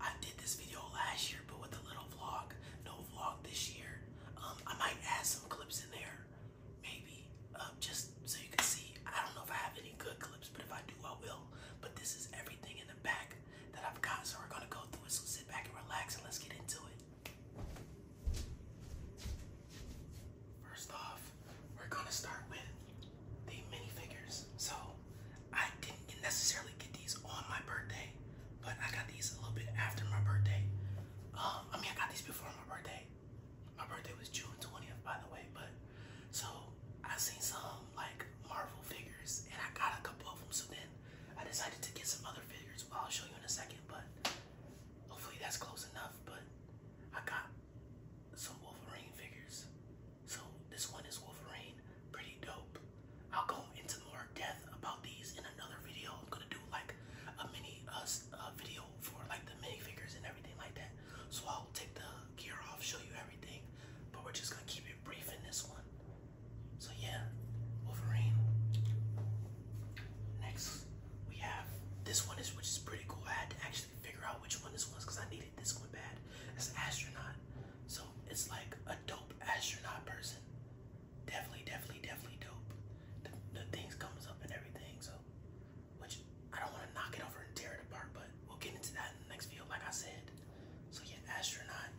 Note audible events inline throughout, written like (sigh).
I did this video last year, but with a little vlog. No vlog this year. Um, I might add some clips in there, maybe, um, just so you can see. I don't know if I have any good clips, but if I do, I will. But this is everything in the back that I've got, so we're gonna go through it. So sit back and relax, and let's get into it. First off, we're gonna start with the minifigures. So I did didn't necessarily get these on my birthday, but I got these a little bit after my birthday. Um, I mean, I got these before my birthday. My birthday was June 20th, by the way, but so I seen some like Marvel figures and I got a couple of them. So then I decided to get some other figures. Well, I'll show you in a second, but hopefully that's close enough. But I got some Wolverine figures. So this one is Wolverine pretty dope. I'll go into more depth about these in another video. I'm gonna do like a mini us uh, video for like the mini figures and everything like that. So I'll take the gear off, show you everything, but we're just gonna keep it brief in this one. So yeah, Wolverine. Next, we have this one is which is pretty cool. I had to actually figure out which one this was because I needed this one bad. It's astronaut. So it's like a dope astronaut person. Definitely, definitely, definitely dope. The, things comes up and everything. So, which I don't want to knock it over and tear it apart, but we'll get into that in the next video, like I said. So yeah, astronaut.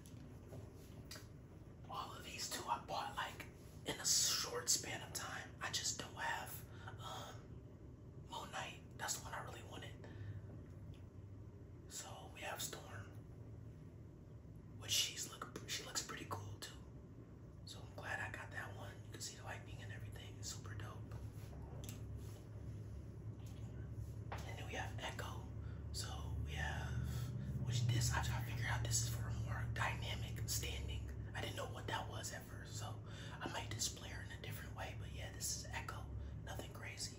All of these two I bought like in a short span of time. I just don't have um, That's the one I really wanted. So we have Storm, which she's look she looks pretty cool too. So I'm glad I got that one. You can see the lightning and everything. It's super dope. And then we have Echo. So we have which this I try to figure out this is for a more dynamic standing. I didn't know what that was at first, so I might display her in a different way, but yeah, this is Echo. Nothing crazy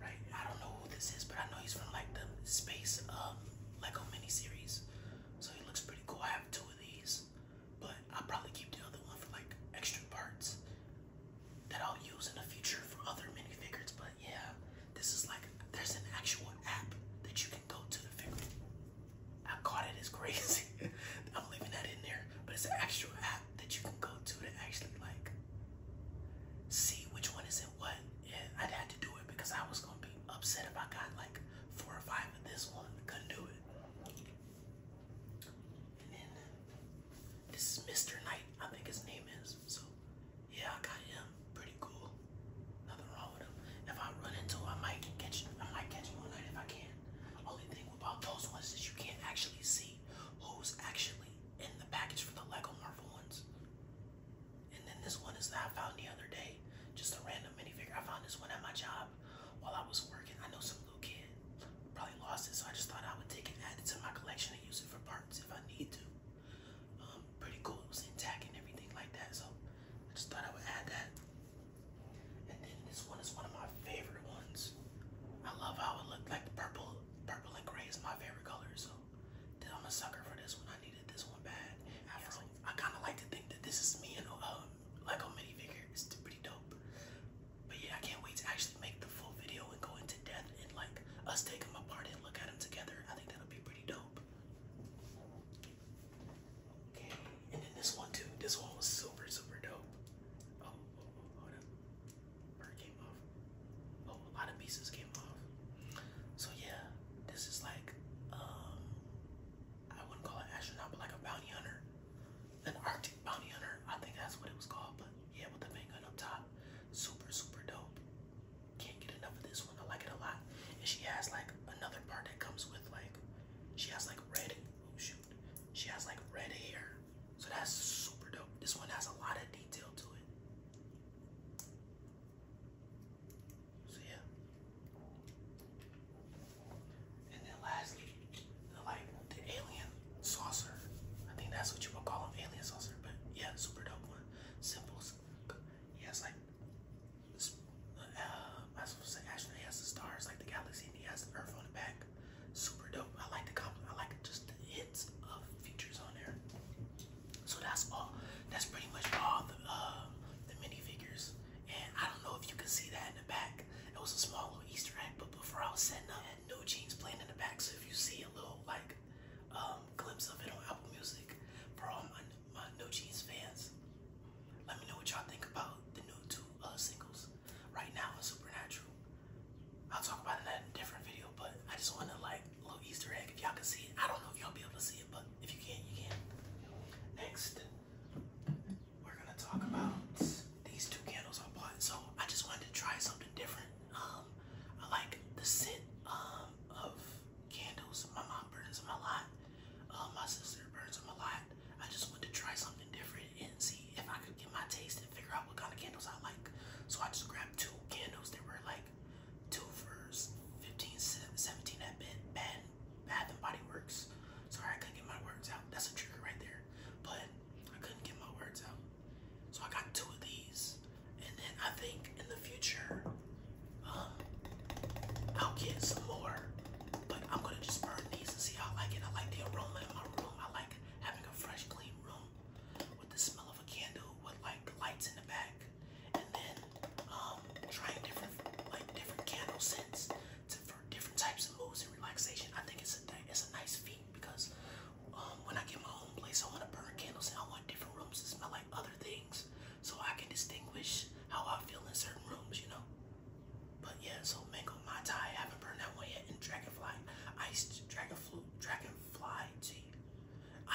right? I don't know who this is, but I know he's from like the space um Lego miniseries. So he looks pretty cool. I have two of these, but I'll probably keep the other one for like extra parts that I'll use in the future for other minifigures. But yeah, this is like there's an actual app that you can go to the figure. I caught it as crazy. (laughs) I'm leaving that in there, but it's an actual app that you can go to to actually like see which one is in what. Yeah, i had to do it because I was gonna be upset if I got like four or five of this one. Couldn't do it. And then this is Mr. Knight, I think his name is. So yeah, I got him. Pretty cool. Nothing wrong with him. If I run into him, I might catch I might catch him one night if I can. Only thing about those ones is you can't actually see who's actually in the package for the Lego Marvel ones. And then this one is that I found the other day. Just a random minifigure. I found this one at my job while I was working. I know some little kid probably lost it, so I just thought I would take it, add it to my collection, and use it for parts if I need to. Um, pretty cool. It was intact and everything like that, so I just thought I would add that. And then this one is one of my favorite ones. I love how it looked like the purple purple and gray is my favorite color, so I'm a sucker for this one. I needed this one bad. I kind of like to think that this is me and uh, a Lego minifigure. It's pretty dope. But yeah, I can't wait to actually make the full video and go into depth and like us take them apart and look at them together. I think that'll be pretty dope. Okay, and then this one too. This one was super, super dope. Oh, oh, oh hold up came off. Oh, a lot of pieces came off. So yeah, this is like, um, I wouldn't call it astronaut, but like a bounty hunter. An Arctic bounty hunter, I think that's what it was called. But yeah, with the main gun up top, super super dope. Can't get enough of this one. I like it a lot. And she has like another part that comes with like, she has like red. Oh shoot, she has like red hair. So that's super dope. This one has a lot of detail to it. So yeah. And then lastly, the like the alien saucer. I think that's what you would call them, alien saucer. But yeah, super dope one. Simple. He has like, uh, I was supposed to say astronaut. He has the stars like the galaxy, he has the Earth on the back. Super dope. I like the compliment. I like just the hits of features on there. So that's all. That's pretty much all the uh, the minifigures. And I don't know if you can see that in the back. It was a small little Easter egg, but before I was setting up, I had no jeans playing in the back. So if you see a little like um, glimpse of it on Apple Music for all my, my No Jeans fans, let me know what y'all think about the new two uh, singles right now supernatural. I'll talk about it in a different video, but I just wanted like a little Easter egg if y'all can see it. I don't know if y'all be able to see it, but if you can, you can. Next, we're gonna talk about these two candles I bought. So I just wanted to try something different. Um, I like the scent um of candles. My mom burns them a lot. Uh, my sister burns them a lot. I just wanted to try something different and see if I could get my taste and figure out what kind of candles I like. So I just grabbed two candles that were like two for 15, 17 at bed, bad, Bath and Body Works. Sorry, I couldn't get my words out. That's a trigger right there. But I couldn't get my words out. So I got two of these. And then I think in the future, um, I'll get some more. But I'm gonna just burn these and see how I like it. I like the aroma in my room. I like having a fresh, clean room with the smell of a candle with like lights in the back, and then um, trying different like different candle scents for different types of moods and relaxation. I think it's a it's a nice feat because um, when I get my own place, I want to burn candles and I want different rooms to smell like other things, so I can distinguish how I feel in certain rooms, you know. But yeah, so mango Mango, Mai Tai, I haven't burned that one yet, and Dragonfly, Ice Dragon Fruit, Dragonfly Tea.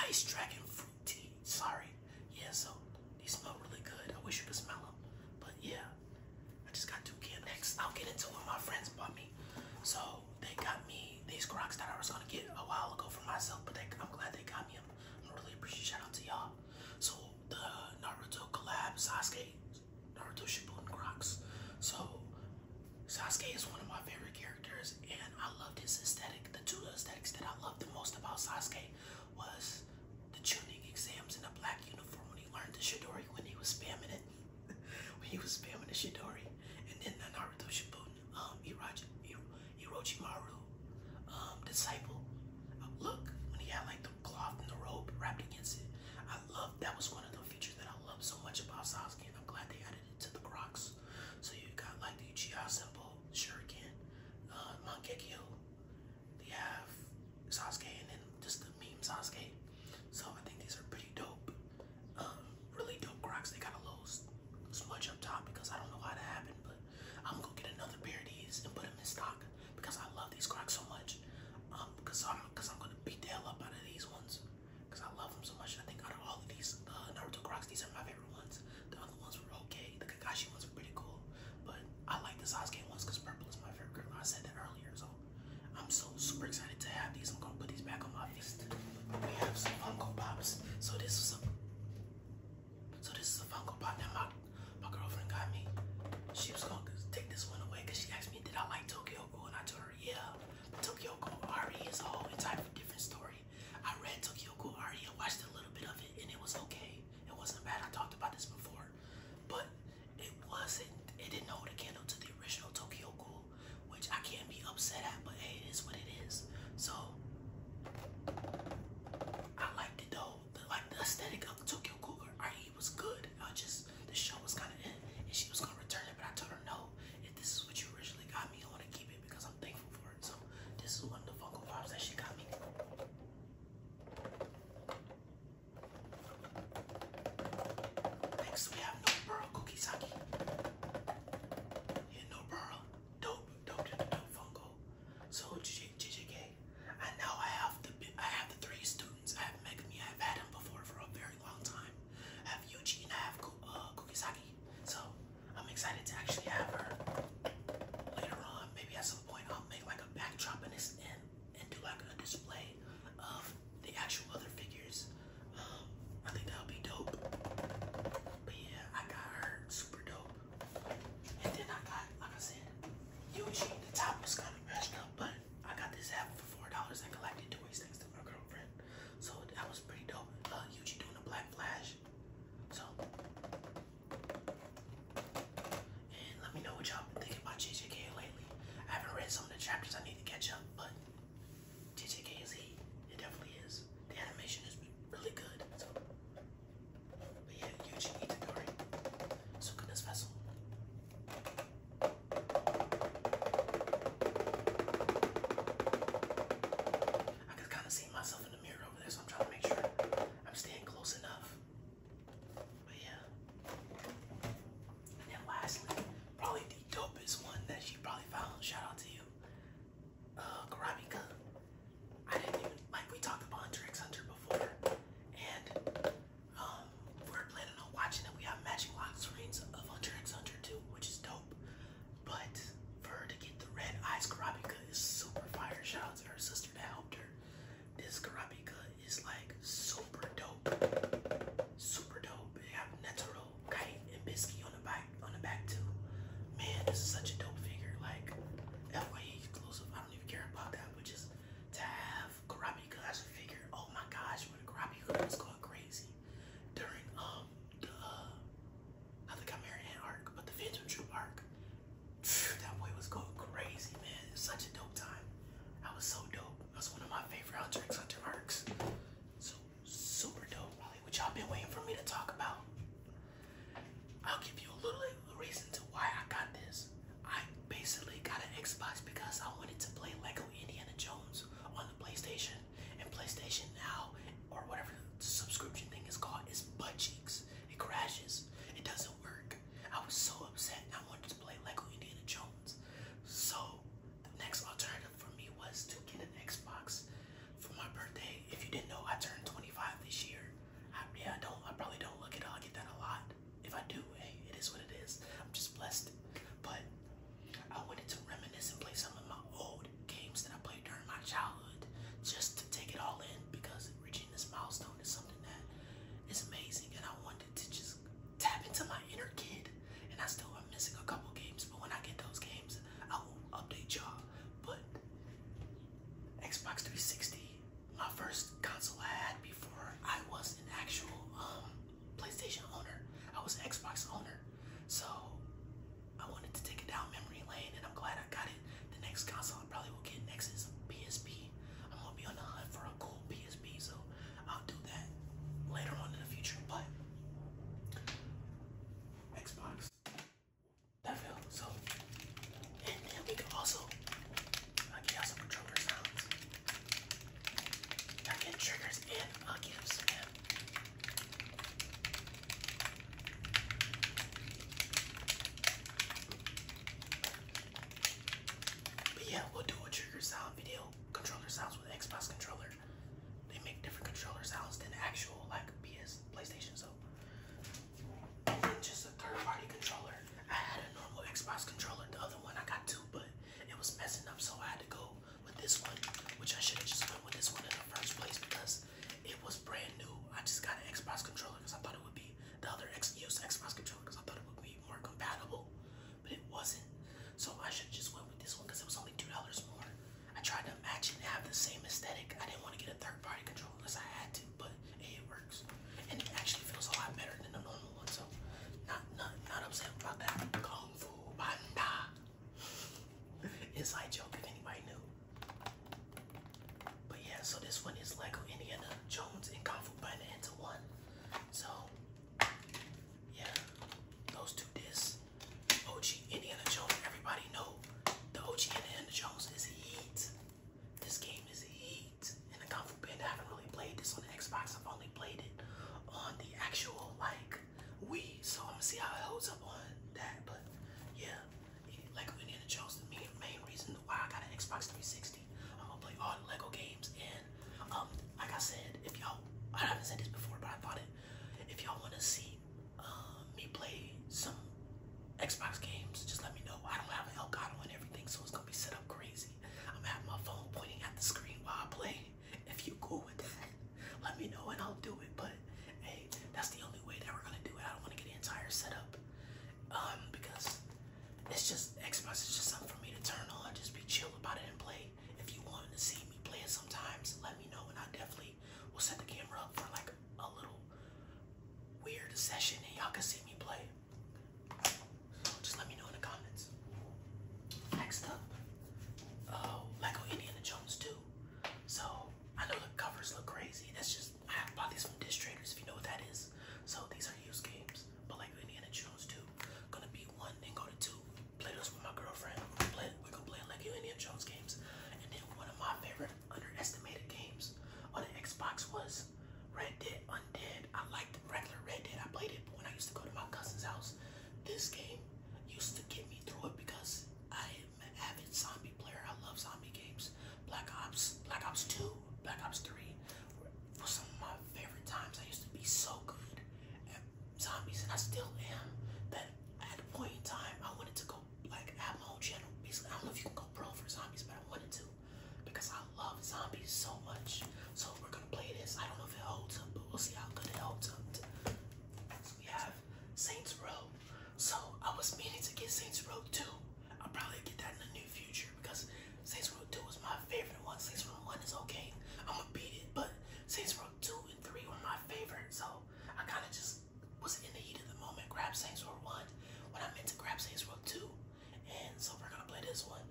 Ice Dragon Fruit Tea, sorry. Yeah, so these smell really good. I wish you could smell them, but yeah. I just got two cans. Next, I'll get into what my friends bought me. So they got me these Crocs that I was gonna get a while ago for myself, but they, I'm glad they got me. I'm, I'm really appreciate. Shout out to y'all. So the Naruto collab, Sasuke Naruto Shippuden Crocs. So Sasuke is one of my favorite characters, and I loved his aesthetic. The two aesthetics that I loved the most about Sasuke was the tuning exams in a black uniform when he learned the Shidori when he was spamming it. (laughs) when he was spamming the Shidori. And then the Naruto Shippuden, um, Irachi, Maru um, disciple. look, when he had like the cloth and the robe wrapped against it. I love that was one of the features that I love so much about Sasuke, and I'm glad they added it to the Crocs. So you got like the Uchiha symbol, Shuriken, uh, Mangekyo. They have Sasuke, and then just the meme Sasuke. So I think these are pretty dope. Um, really dope Crocs. They got a little smudge up top because I don't know how that happened, but I'm gonna get another pair of these and put them in stock because I love these Crocs so much. Um, because I'm because I'm gonna beat the hell up out of these ones because I love them so much. I think out of all of these uh, Naruto Crocs, these are my favorite ones. The other ones were okay. The Kakashi ones were pretty cool, but I like the Sasuke ones because purple is my favorite color. I said that earlier, so I'm so super excited to have these. I'm gonna put these back on my fist. We have some Funko Pops. So this is a so this is a Funko Pop that my my girlfriend got me. She was gonna take this one away because she asked me did I like Tokyo Ghoul, and I told her story, yeah. Tokyo Ghoul is a whole entire different story. I read Tokyo Ghoul I watched a little bit of it, and it was okay. It wasn't bad. I talked about this before, but it wasn't. It didn't hold a candle to the original Tokyo Ghoul, which I can't be upset at. But hey, it is what it is. So I liked it though. The, like the aesthetic of Tokyo Ghoul it was good. I just the show was kind of in, and she was gonna return it, but I told her no. If this is what you originally got me, I want to keep it because I'm thankful for it. So this is one of the Funko Pops that she got me. Next we have No Burl Cookie Yeah, No Burl. Dope, dope, dope, dope Funko. So JJK. I now I have the I have the three students. I have megami. I have had before for a very long time. I have Yuji and I have uh, Kukisaki. So I'm excited to actually have her later on. Maybe at some point I'll make like a backdrop in this and, and do like a display of the actual other figures. Um, I think that'll be dope. But yeah, I got her super dope. And then I got, like I said, Yuji. The top was kind of messed up, but I got this app for $4. I collected toys. Things my girlfriend. So that was pretty dope. Uh, doing a Black Flash. So, and let me know what y'all thinking about JJK lately. I haven't read some of the chapters. I need to catch up, but JJK is he. It definitely is. The animation is really good. but yeah, Yuji Itagori. Sukuna Vessel. I can kind of see myself in the mirror over there, so I'm trying to make sure I'm staying close enough. But yeah. And then lastly, probably the dopest one that she probably found. Shout out to you. Uh I didn't even like we talked about Hunter Hunter before. And um, we're planning on watching it. We have matching lock screens of Hunter x Hunter 2, which is dope. But for her to get the red eyes Karabika is super fire. Shout out to her sister that helped her. This Karabika is like super dope. Super dope. They have Netaro, Kai, and Bisky on the back on the back too. Man, this is such a dope figure. Like FYE exclusive. I don't even care about that, but just to have karate class and figure, oh my gosh, when the karate class going crazy during um the uh, I think I married an arc, but the Phantom Troop arc. Phew, that boy was going crazy, man. It was such a dope time. That was so dope. That's one of my favorite Hunter Hunter arcs. So super dope. Probably what y'all been waiting for me to talk about. I'll give you a little reason to why I got this. I basically got an Xbox because I wanted to play like Indiana Jones on the PlayStation, and PlayStation Now or whatever the subscription thing is called is butt cheeks. It crashes. It doesn't work. I was so upset. I wanted to play Lego Indiana Jones. So the next alternative for me was to get an Xbox for my birthday. If you didn't know, I turned 25 this year. yeah, I don't. I probably don't look at it. I get that a lot if I do, hey, it is what it is. I'm just blessed. But I wanted to reminisce and play some of my old games that I played during my childhood just to take it all in because reaching this milestone is something that is amazing. And I wanted to just tap into my inner kid. And I still am missing a couple games, but when I get those games, I will update y'all. But Xbox 360, my first console I had before I was an actual um, PlayStation owner. I was an Xbox owner. So I wanted to take it down memory lane and I'm glad I got it. The next console I probably will get next is a PSP. I'm gonna be on the hunt for a cool PSP, so I'll do that later on in the future. But Xbox. That felt so and then we can also I can also sounds. I get triggers in. I'll But yeah, we'll do a trigger sound video, controller sounds with Xbox controller. They make different controller sounds than actual like PS PlayStation. So just a third party controller. I had a normal Xbox controller. The other one I got two, but it was messing up, so I had to go with this one, which I should have just went with this one in the first place because it was brand new. I just got an Xbox controller because I thought it would be the other X Xbox controller because I thought it would be more compatible, but it wasn't. So I should just went with this one because it was only two dollars more. I tried to match it and have the same aesthetic. I didn't want to get a third party controller unless I had to, but it works. And it actually feels a lot better than the normal one. So not not not upset about that. Kung Fu Panda. Inside joke if anybody knew. But yeah, so this one is Lego Indiana Jones and Kung Fu Panda into one. So yeah, those two discs. OG Indiana Jones, everybody know the OG Indiana Jones is heat. This game is heat in the Kung Fu I haven't really played this on the Xbox. I've only played it on the actual like Wii. So I'm gonna see how it holds up on that. But yeah, like Indiana Jones, the main, reason why I got an Xbox 360. I'm gonna play all the Lego games and um, like I said, if y'all, I haven't said this before, but I thought it. If y'all wanna see um, me play some Xbox games, just let me know. I don't have an Elgato and everything, so it's gonna be set up crazy. I'm having to my phone pointing at the screen while I play. If you cool with that, let me know and I'll do it. But hey, that's the only way that we're gonna do it. I don't wanna get the entire setup. Um, because it's just Xbox is just something for me to turn on, just be chill about it and play. If you want to see me play it sometimes, let me know and I definitely will set the camera up for like a little weird session and y'all can see me play just let me know in the comments. Next up, oh, Lego Indiana Jones 2. So I know the covers look crazy. That's just, I have bought these from Dish Traders if you know what that is. So these are used games, but Lego Indiana Jones 2. Gonna be one, then go to two. Play those with my girlfriend. We're gonna play, we're going Lego Indiana Jones games. And then one of my favorite underestimated games on the Xbox was Red Dead Undead. I like the regular Red Dead. I played it when I used to go to my cousin's house. This game used to get me through it because I am an avid zombie player. I love zombie games. Black Ops, Black Ops 2, Black Ops 3 were some of my favorite times. I used to be so good at zombies, and I still am. That at the point in time, I wanted to go like have my own channel. Basically, I don't know if you can go pro for zombies, but I wanted to because I love zombies so much. So we're gonna play this. I don't know if it holds up, but we'll see how good it holds up. So we have Saints Row. So I was meaning to get Saints Row 2. I'll probably get that in the new future because Saints Row 2 was my favorite one. Saints Row 1 is okay. I'm gonna beat it, but Saints Row 2 and 3 were my favorite. So I kind of just was in the heat of the moment, grab Saints Row 1 when I meant to grab Saints Row 2. And so we're gonna play this one.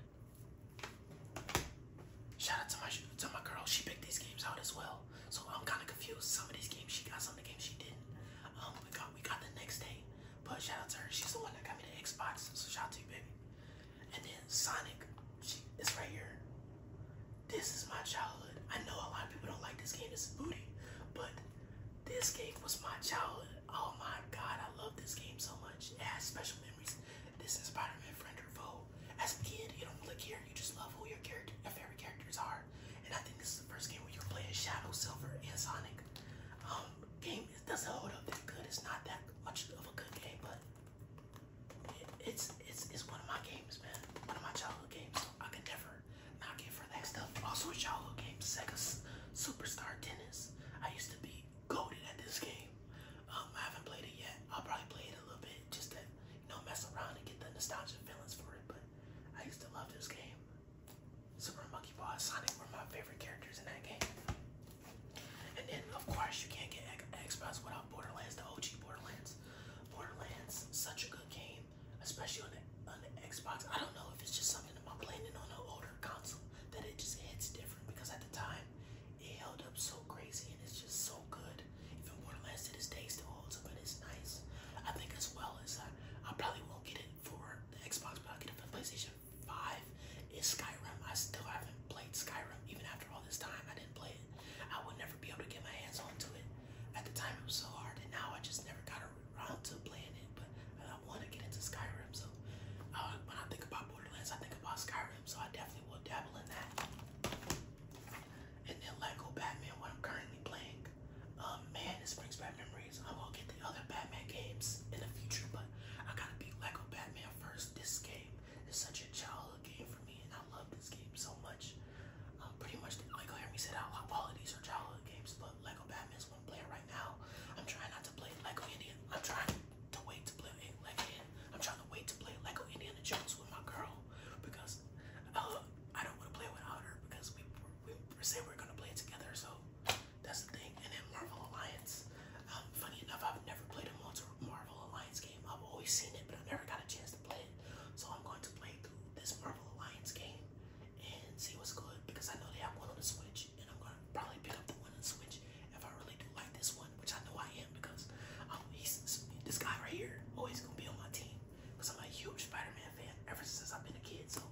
Shout out to my to my girl, she picked these games out as well. So I'm kind of confused. Some of these games she got, some of the games she didn't. Um, we got we got the next day, but shout out to her. She's the one that got me the Xbox. So shout out to you, baby. And then Sonic, she is right here. This is my childhood. I know a lot of people don't like this game. It's booty, but this game was my childhood. Oh my god, I love this game so much. It has special this is Spider-Man friend or foe. As a kid, you don't really care. You just love who your favorite characters are. And I think this is the first game where you're playing Shadow, Silver, and Sonic. Um, game it doesn't hold up that good. It's not that much of a good game, but it's it's it's one of my games, man. One of my childhood games. I can never knock it for that stuff. Also, a childhood game, Sega Superstar Tennis. I used to be goaded at this game. Um, I haven't played it yet. I'll probably play it a little bit just to you know mess around and get the nostalgia feelings for it. But I used to love this game. Super Monkey Ball, Sonic were my favorite characters in that game. And then of course you can't get Xbox without Borderlands, the OG Borderlands. Borderlands, such a good game, especially on on the Xbox. I don't know if it's just something about playing it on an older console that it just hits different because at the time it held up so crazy and it's just so good. If it were less to this day, still holds up, but it's nice. I think as well as I, uh, I probably won't get it for the Xbox, but I'll get it for the PlayStation 5. Is Skyrim. I still haven't played Skyrim even after all this time. I didn't play it. I would never be able to get my hands onto it. At the time, it was so hard, and now I just never got around to playing it. But I want to get into Skyrim, so uh, when I think about I think about Skyrim, so I definitely will dabble in that. And then Lego Batman, what I'm currently playing. Um, man, this brings back memories. I'm gonna get the other Batman games in the future, but I gotta beat Lego Batman first. This game is such a childhood game for me, and I love this game so much. Um, pretty much, like hear me say, out loud, all of these are childhood games, but Lego Batman is one player right now. I'm trying not to play Lego Indian. I'm trying to wait to play Lego. I'm trying to wait to play Lego Indiana Jones with my girl because uh, I don't want to play without her because we we, say we're gonna play it together. So that's the thing. And then Marvel Alliance. Um, funny enough, I've never played a Marvel Alliance game. I've always seen it, but I never got a chance to play it. So I'm going to play through this Marvel Alliance game and see what's good because I know they have one on the Switch and I'm gonna probably pick up the one and Switch if I really do like this one, which I know I am because um, this guy right here always oh, gonna be on my team because I'm a huge Spider-Man fan ever since I've been a kid. So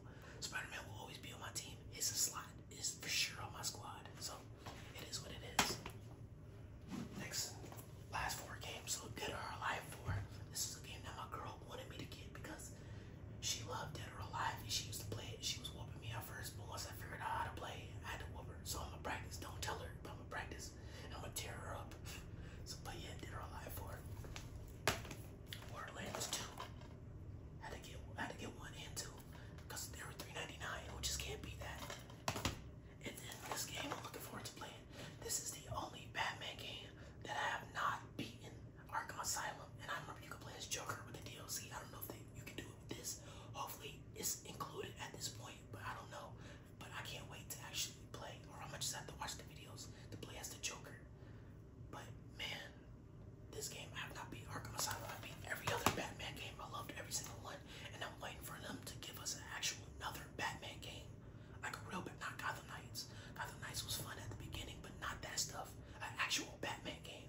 Spider-Man will always be on my team. a slot is for sure on my squad. So it is what it is. Next, last four games. So Dead or Alive 4. This is a game that my girl wanted me to get because she loved Dead or Alive. She used to play it. She was me at first, but I figured out how to play, I had to whoop her. So I'm gonna practice. Don't tell her, but I'm gonna practice. I'm gonna tear her up. (laughs) so, but yeah, did her alive for it. 2. Had to get, had to get one and cause they were 3.99, which just can't beat that. And this game I'm looking forward to playing. This is the only Batman game that I have not beaten. Arkham Asylum, and I remember you could play as Joker with the DLC. I don't know if you can do this. Hopefully it's included at this point, but I don't know. But I can't wait to actually play, or I'm gonna just have to watch the videos to play as the Joker. But man, this game I have not beat Arkham Asylum. I beat every other Batman game. I loved every single one, and I'm waiting for them to give us an actual another Batman game, like a real, but not Gotham Knights. Gotham Knights was fun at the beginning, but not that stuff. An actual Batman game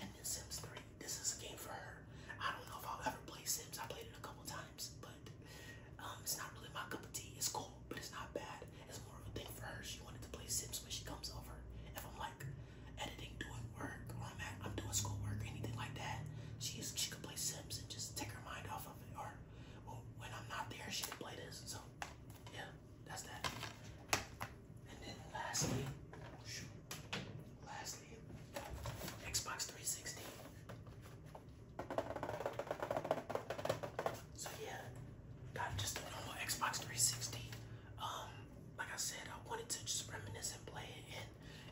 and Sims 3. This is a game for her. I don't know if I'll ever play Sims. I played it a couple times, but um, it's not really my cup of tea. It's cool, but it's not bad. It's more of a thing for her. She wanted to play Sims when she comes over. If I'm like editing, doing work, or I'm, at, I'm doing schoolwork, anything like that, she's, she could play Sims and just take her mind off of it. Or when I'm not there, she can play this. So, yeah. That's that. And then lastly, shoot, lastly, Xbox 360. So yeah, got just a normal Xbox 360. Um, like I said, I wanted to just reminisce and play it, and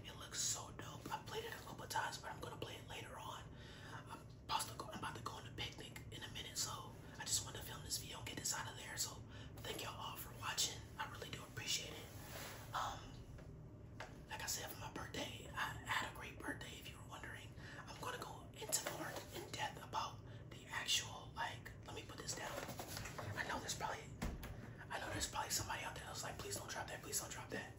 it looks so dope. I played it a couple times, but I'm gonna play it later on. I'm about to go, I'm about to go on a picnic in a minute, so I just want to film this video and get this out of there. So thank y'all all for watching. I really do appreciate it. Um, like I said, for my birthday, I had a great birthday. If you were wondering, I'm gonna go into more in depth about the actual like. Let me put this down. I know there's probably, I know there's probably somebody out there that's like, please don't drop that, please don't drop that.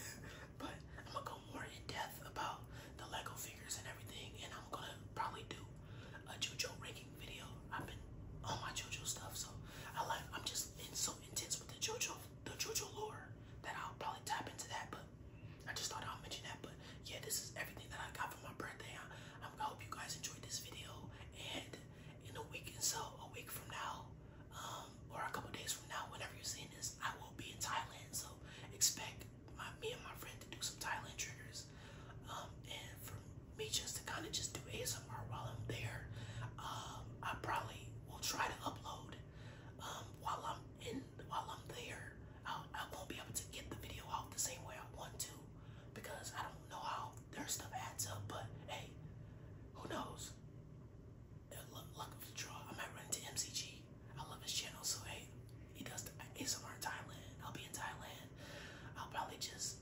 (laughs) but I'm gonna go more in depth about the Lego figures and everything, and I'm gonna probably do a JoJo ranking video. I've been all my JoJo stuff, so I like I'm just been so intense with the JoJo the JoJo lore that I'll probably tap into that. But I just thought I'll mention that. But yeah, this is everything that I got for my birthday. I, hope you guys enjoyed this video. And in a week and so, a week from now, um, or a couple days from now, whenever you're seeing this, I will be in Thailand. So expect me and my friend to do some Thailand triggers is. Um, and for me just to kind of just do ASMR while I'm there, um, I probably will try to upload um, while I'm in, while I'm there. I'll, I am there i will not be able to get the video out the same way I want to because I don't know how their stuff adds up. But hey, who knows? Luck of the draw. I might run into MCG. I love his channel, so hey, he does ASMR in Thailand. I'll be in Thailand. I'll probably just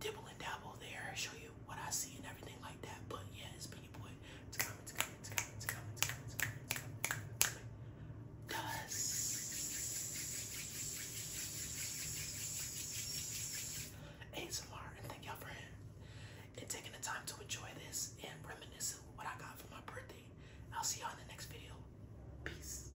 dibble and dabble there, show you what I see and everything like that. But yes, it your boy. It's coming, it's coming, it's coming, it's coming, it's coming, it's coming, it's ASMR and thank y'all for him and taking the time to enjoy this and reminisce what I got for my birthday. I'll see y'all in the next video. Peace.